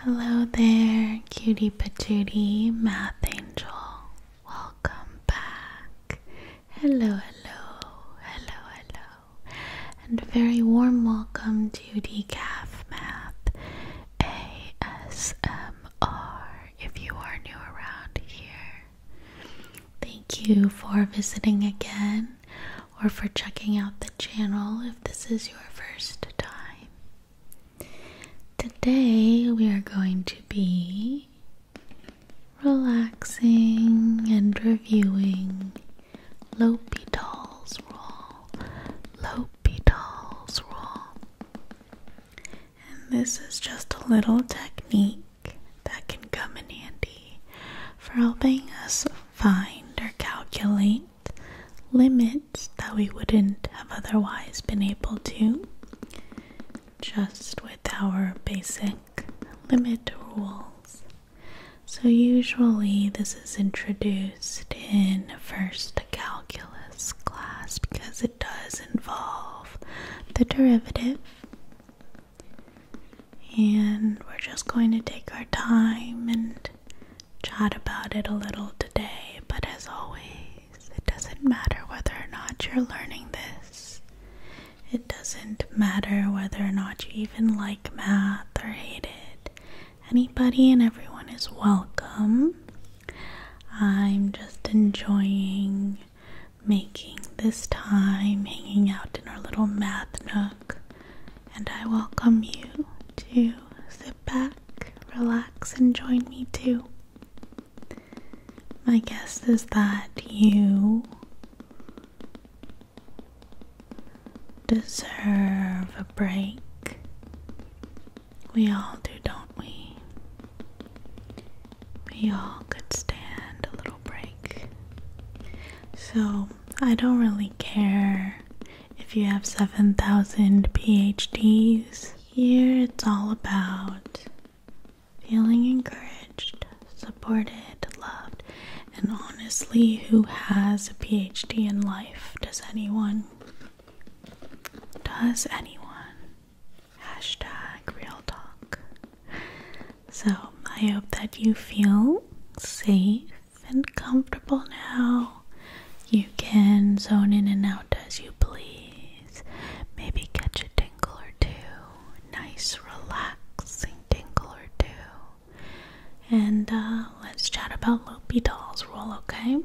Hello there, cutie patootie, math angel. Welcome back. Hello, hello, hello, hello. And a very warm welcome to the CAF Math ASMR if you are new around here. Thank you for visiting again or for checking out the channel if this is your first time. Today we are going to be relaxing and reviewing L'Hopital's Rule. L'Hopital's Rule. And this is just a little technique that can come in handy for helping us find or calculate limits that we wouldn't have otherwise been able to just with our basic limit rules. So, usually, this is introduced in first calculus class because it does involve the derivative. And we're just going to take our time and chat about it a little today. But as always, it doesn't matter whether or not you're learning this, it doesn't matter whether or not you even like math or hate it. Anybody and everyone is welcome. I'm just enjoying making this time hanging out in our little math nook and I welcome you to sit back, relax, and join me too. My guess is that you deserve a break. We all do, don't we? We all could stand a little break. So, I don't really care if you have 7,000 PhDs. Here it's all about feeling encouraged, supported, loved, and honestly, who has a PhD in life? Does anyone? Does anyone? Hashtag real talk. So I hope that you feel safe and comfortable now. You can zone in and out as you please. Maybe catch a tingle or two. Nice, relaxing tingle or two. And uh, let's chat about Loopy Doll's role, okay?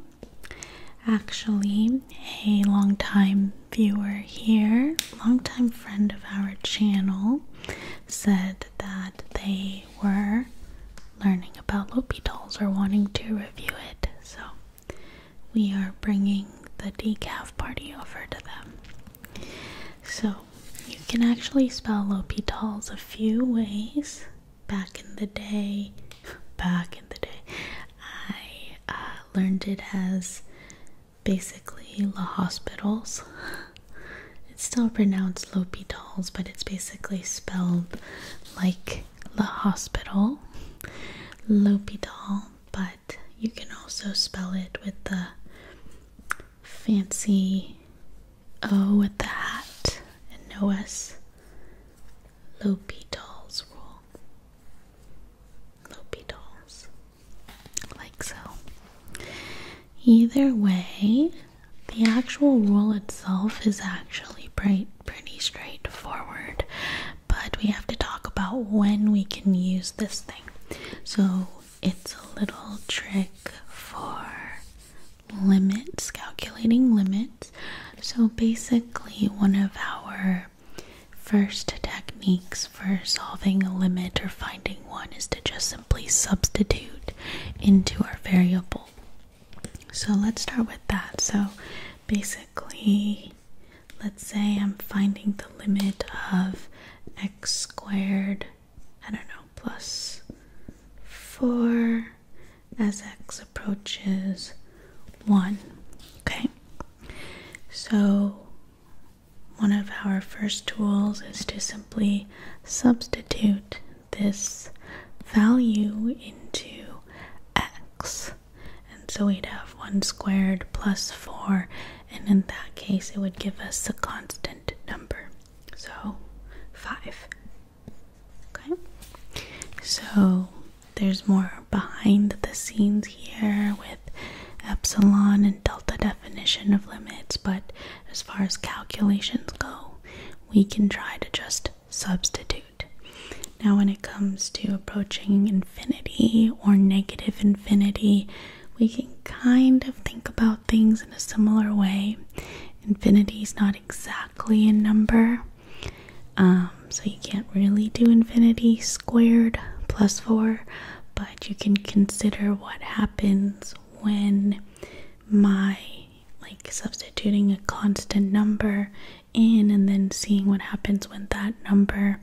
Actually, a long-time viewer here, longtime friend of our channel, said that they they were learning about loopy or wanting to review it. So we are bringing the decaf party over to them. So you can actually spell loopy a few ways. Back in the day, back in the day, I uh, learned it as basically La Hospitals. it's still pronounced Lopitals, but it's basically spelled like the hospital, Lopital. But you can also spell it with the fancy O with the hat and no S. Lopitals rule. Lopitals like so. Either way, the actual rule itself is actually pretty, pretty straightforward, but we have to talk about when we can use this thing. So it's a little trick for limits, calculating limits. So basically, one of our first techniques for solving a limit or finding one is to just simply substitute into our variable. So let's start with that. So basically, let's say I'm finding the limit of x squared, I don't know, plus 4 as x approaches 1. Okay, so one of our first tools is to simply substitute this value into x. And so we'd have 1 squared plus 4, and in that case, it would give us a constant number. So 5. Okay? So there's more behind the scenes here with epsilon and delta definition of limits, but as far as calculations go, we can try to just substitute. Now, when it comes to approaching infinity or negative infinity, we can kind of think about things in a similar way. Infinity is not exactly a number, um, so you can't really do infinity squared plus 4, you can consider what happens when my like substituting a constant number in and then seeing what happens when that number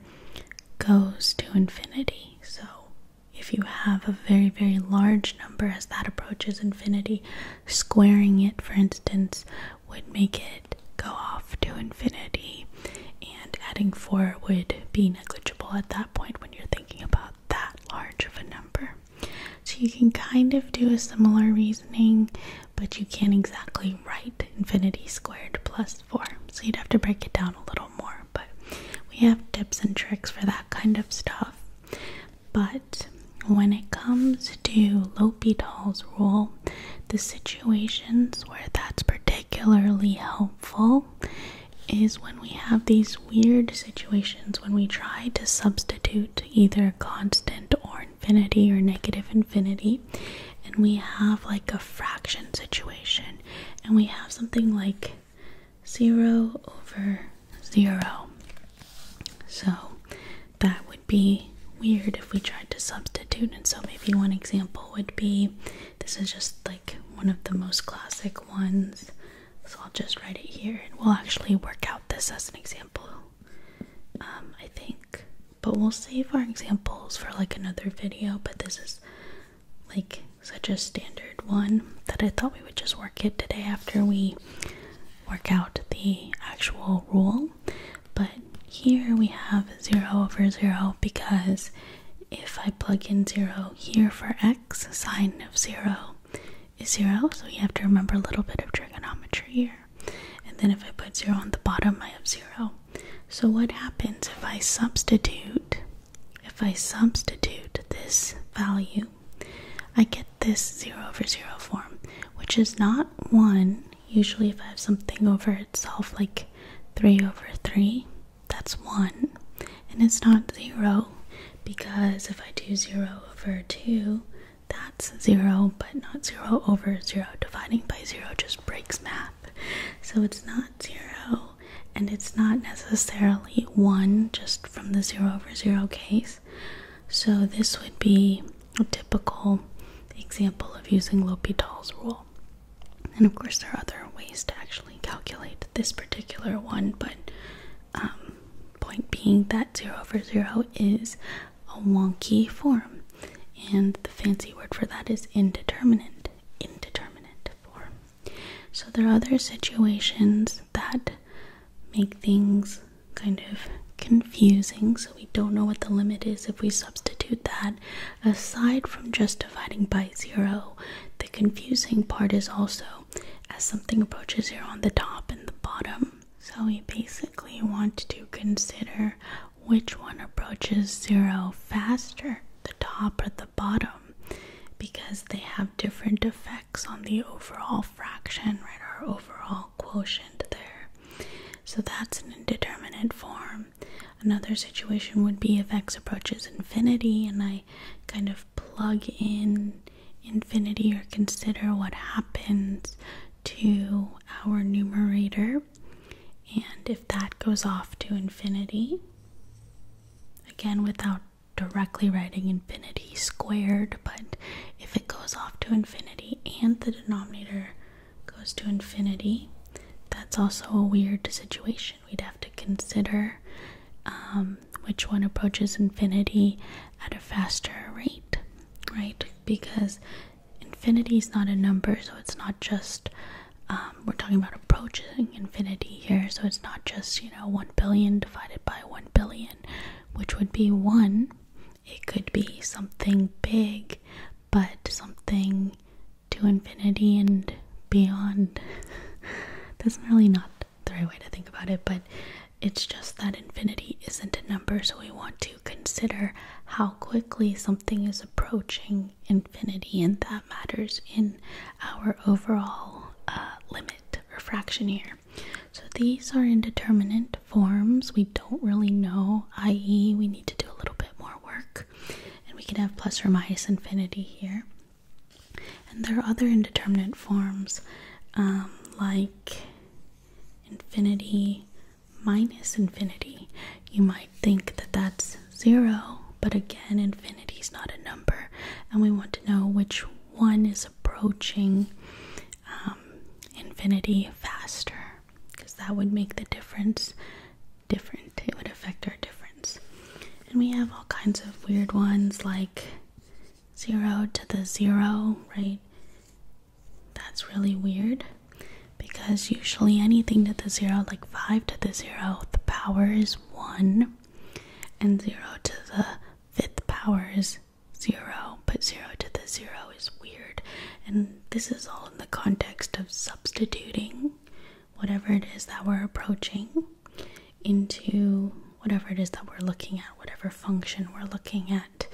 goes to infinity. So, if you have a very, very large number as that approaches infinity, squaring it, for instance, would make it go off to infinity, and adding 4 would be negligible at that point when you're thinking about that large of a number. So you can kind of do a similar reasoning, but you can't exactly write infinity squared plus 4. So you'd have to break it down a little more, but we have tips and tricks for that kind of stuff. But when it comes to L'Hopital's rule, the situations where that's particularly helpful is when we have these weird situations when we try to substitute either constant or infinity or negative infinity and we have like a fraction situation and we have something like 0 over 0 so that would be weird if we tried to substitute and so maybe one example would be this is just like one of the most classic ones. So I'll just write it here and we'll actually work out this as an example, um, I think. But we'll save our examples for like another video. But this is like such a standard one that I thought we would just work it today after we work out the actual rule. But here we have 0 over 0 because if I plug in 0 here for x, sine of 0 is 0, so we have to remember a little bit of trigonometry here. And then if I put 0 on the bottom, I have 0. So what happens if I substitute, if I substitute this value, I get this 0 over 0 form, which is not 1. Usually if I have something over itself, like 3 over 3, that's 1 and it's not 0 because if I do 0 over 2 that's 0 but not 0 over 0 dividing by 0 just breaks math so it's not 0 and it's not necessarily 1 just from the 0 over 0 case so this would be a typical example of using L'Hopital's rule and of course, there are other ways to actually calculate this particular one, but um, point being that 0 over 0 is a wonky form, and the fancy word for that is indeterminate. Indeterminate form. So, there are other situations that make things kind of confusing, so we don't know what the limit is if we substitute that aside from just dividing by zero, the confusing part is also as something approaches zero on the top and the bottom. So we basically want to consider which one approaches zero faster, the top or the bottom, because they have different effects on the overall fraction, right? Our overall quotient there. So that's an indeterminate form another situation would be if x approaches infinity and I kind of plug in infinity or consider what happens to our numerator. And if that goes off to infinity, again without directly writing infinity squared, but if it goes off to infinity and the denominator goes to infinity, that's also a weird situation. We'd have to consider um, which one approaches infinity at a faster rate, right? Because infinity is not a number, so it's not just. Um, we're talking about approaching infinity here, so it's not just, you know, 1 billion divided by 1 billion, which would be 1. It could be something big, but something to infinity and beyond. That's really not the right way to think about it, but it's just that infinity isn't a number, so we want to consider how quickly something is approaching infinity, and that matters in our overall uh, limit or fraction here. So these are indeterminate forms. We don't really know, i.e., we need to do a little bit more work. And we can have plus or minus infinity here. And there are other indeterminate forms um, like infinity minus infinity. You might think that that's zero, but again, infinity is not a number, and we want to know which one is approaching um, infinity faster because that would make the difference different. It would affect our difference. And we have all kinds of weird ones like zero to the zero, right? That's really weird because usually anything to the zero, like five to the zero, the power is one, and zero to the fifth power is zero, but zero to the zero weird. And this is all in the context of substituting whatever it is that we're approaching into whatever it is that we're looking at, whatever function we're looking at.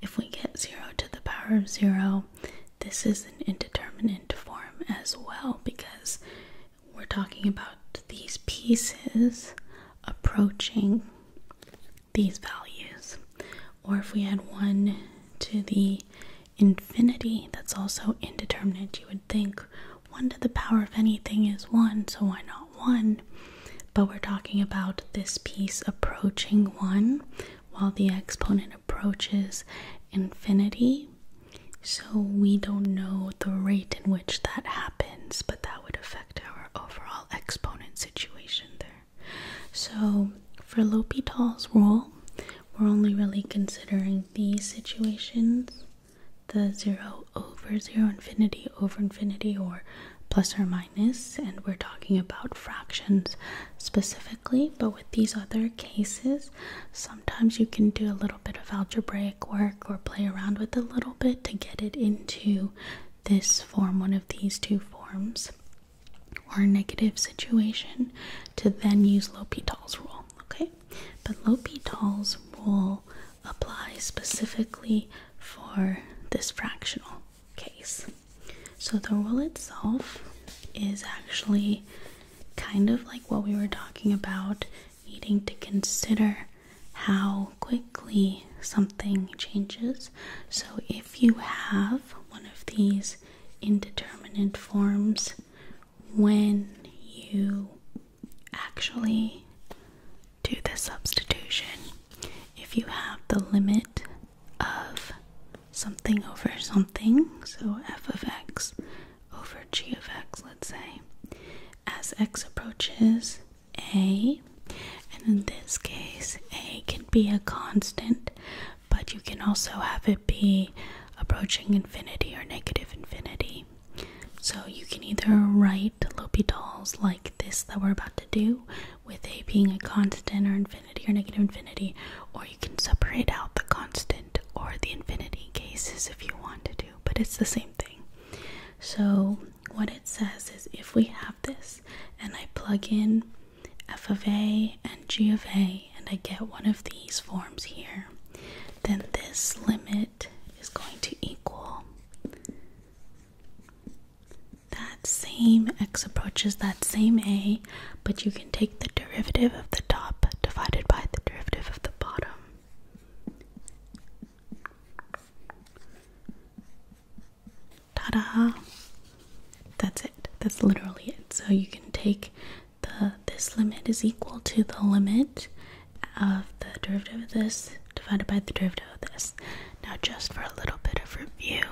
If we get 0 to the power of 0, this is an indeterminate form as well because we're talking about these pieces approaching these values or if we had 1 to the infinity, that's also indeterminate. You would think 1 to the power of anything is 1, so why not 1? But we're talking about this piece approaching 1 while the exponent approaches infinity. So we don't know the rate in which that happens, but that would affect our overall exponent situation there. So, for L'Hopital's rule, we're only really considering these situations the 0 over 0 infinity over infinity or plus or minus, and we're talking about fractions specifically. But with these other cases, sometimes you can do a little bit of algebraic work or play around with a little bit to get it into this form, one of these two forms or a negative situation to then use L'Hopital's rule, okay? But L'Hopital's rule applies specifically for this fractional case. So the rule itself is actually kind of like what we were talking about needing to consider how quickly something changes. So if if you have one of these indeterminate forms when you actually do the substitution, if you have the limit of something over something, so f of x over g of x, let's say, as x approaches a and in this case, A can be a constant, but you can also have it be approaching infinity or negative infinity. So you can either write L'Hopital's like this that we're about to do, with A being a constant or infinity or negative infinity, or you can separate out the constant or the infinity cases if you want to do, but it's the same thing. So what it says is if we have this and I plug in f of a and g of a and I get one of these forms here, then this limit is going to equal that same x approaches that same a, but you can take the derivative of the top divided by the derivative of the bottom. Ta-da! That's it. That's literally it. So you can take the this limit is equal to the limit of the derivative of this divided by the derivative of this. Now just for a little bit of review,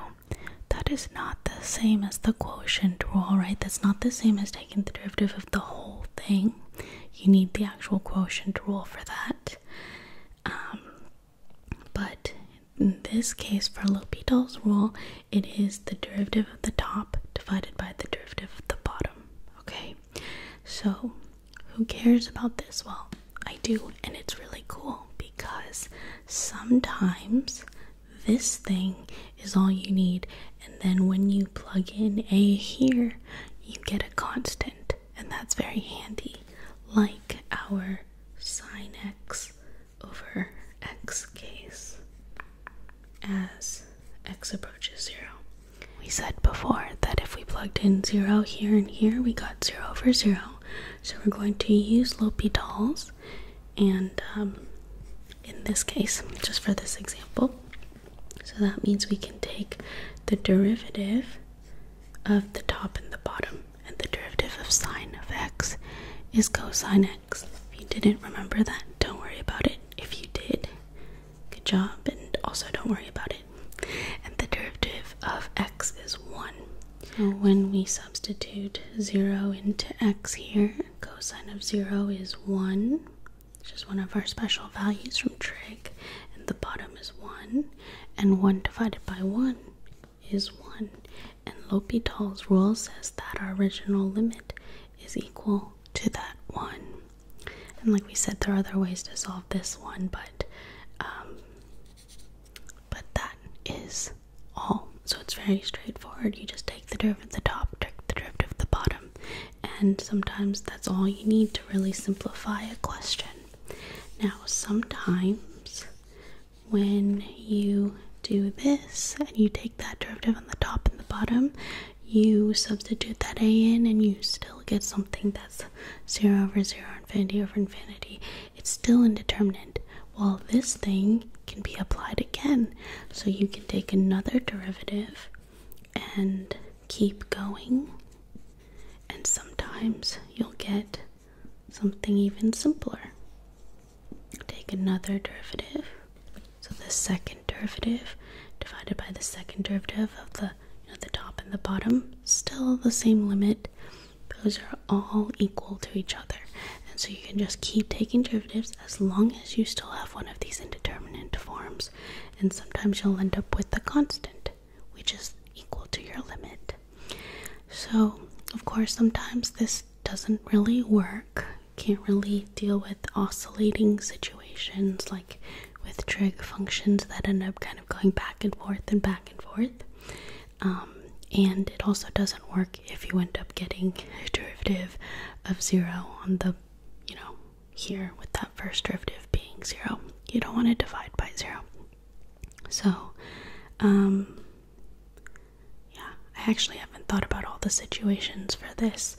that is not the same as the quotient rule, right? That's not the same as taking the derivative of the whole thing. You need the actual quotient rule for that. Um, but in this case, for L'Hopital's rule, it is the derivative of the top divided by the derivative of the bottom. Okay, so who cares about this? Well, I do, and it's really cool because sometimes this thing is all you need, and then when you plug in a here, you get a constant and that's very handy, like our sine x over x case as x approaches zero. We said before that if we plugged in zero here and here, we got zero over zero. So we're going to use L'Hopital's, and um, in this case, just for this example, so that means we can take the derivative of the top and the bottom, and the derivative of sine of x is cosine x. If you didn't remember that, don't worry about it. If you did, good job, and also don't worry about it. And the derivative of x is 1. So when we substitute 0 into x here, cosine of 0 is 1, which is one of our special values from trig, and the bottom is 1 and 1 divided by 1 is 1. And L'Hopital's rule says that our original limit is equal to that 1. And like we said, there are other ways to solve this one, but um, but that is all. So it's very straightforward. You just take the derivative at the top, take the derivative the bottom, and sometimes that's all you need to really simplify a question. Now, sometimes when you do this and you take that derivative on the top and the bottom, you substitute that a in and you still get something that's 0 over 0, infinity over infinity. It's still indeterminate. Well, this thing can be applied again. So you can take another derivative and keep going and sometimes you'll get something even simpler. Take another derivative, so the second derivative divided by the second derivative of the the top and the bottom, still the same limit. Those are all equal to each other, and so you can just keep taking derivatives as long as you still have one of these indeterminate forms, and sometimes you'll end up with a constant which is equal to your limit. So, of course, sometimes this doesn't really work. Can't really deal with oscillating situations like with trig functions that end up kind of going back and forth and back and forth. Um, and it also doesn't work if you end up getting a derivative of zero on the, you know, here with that first derivative being zero. You don't want to divide by zero. So, um, yeah, I actually haven't thought about all the situations for this,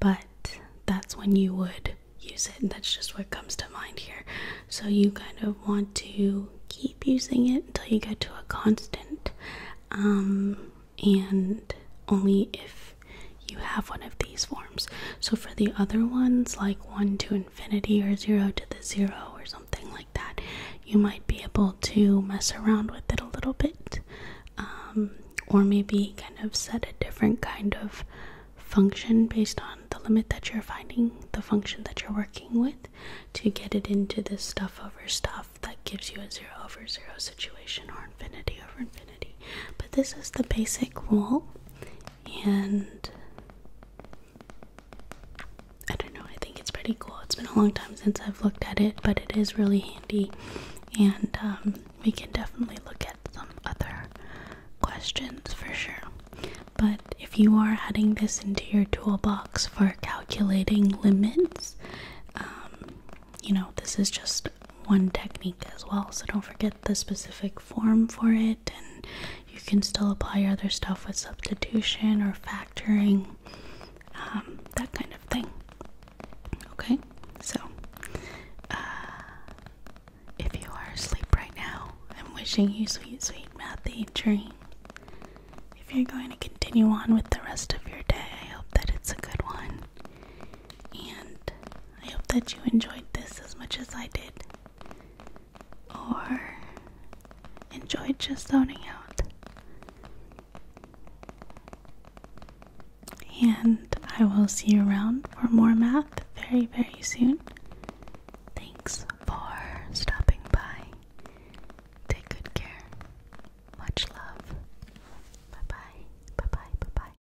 but that's when you would use it, and that's just what comes to mind here. So, you kind of want to keep using it until you get to a constant, um, and only if you have one of these forms. So for the other ones, like 1 to infinity or 0 to the 0 or something like that, you might be able to mess around with it a little bit. Um, or maybe kind of set a different kind of function based on the limit that you're finding, the function that you're working with, to get it into this stuff over stuff that gives you a 0 over 0 situation or infinity over infinity. But this is the basic rule, and I don't know, I think it's pretty cool. It's been a long time since I've looked at it, but it is really handy, and um, we can definitely look at some other questions for sure. But if you are adding this into your toolbox for calculating limits, um, you know, this is just one technique as well, so don't forget the specific form for it, and you can still apply your other stuff with substitution or factoring, um, that kind of thing. Okay, so uh, if you are asleep right now, I'm wishing you sweet, sweet mathy dreams. If you're going to continue on with the rest of your day, I hope that it's a good one. And I hope that you enjoyed this as much as I did, or enjoyed just zoning out. And I will see you around for more math very, very soon. Thanks for stopping by. Take good care. Much love. Bye bye. Bye bye. Bye bye.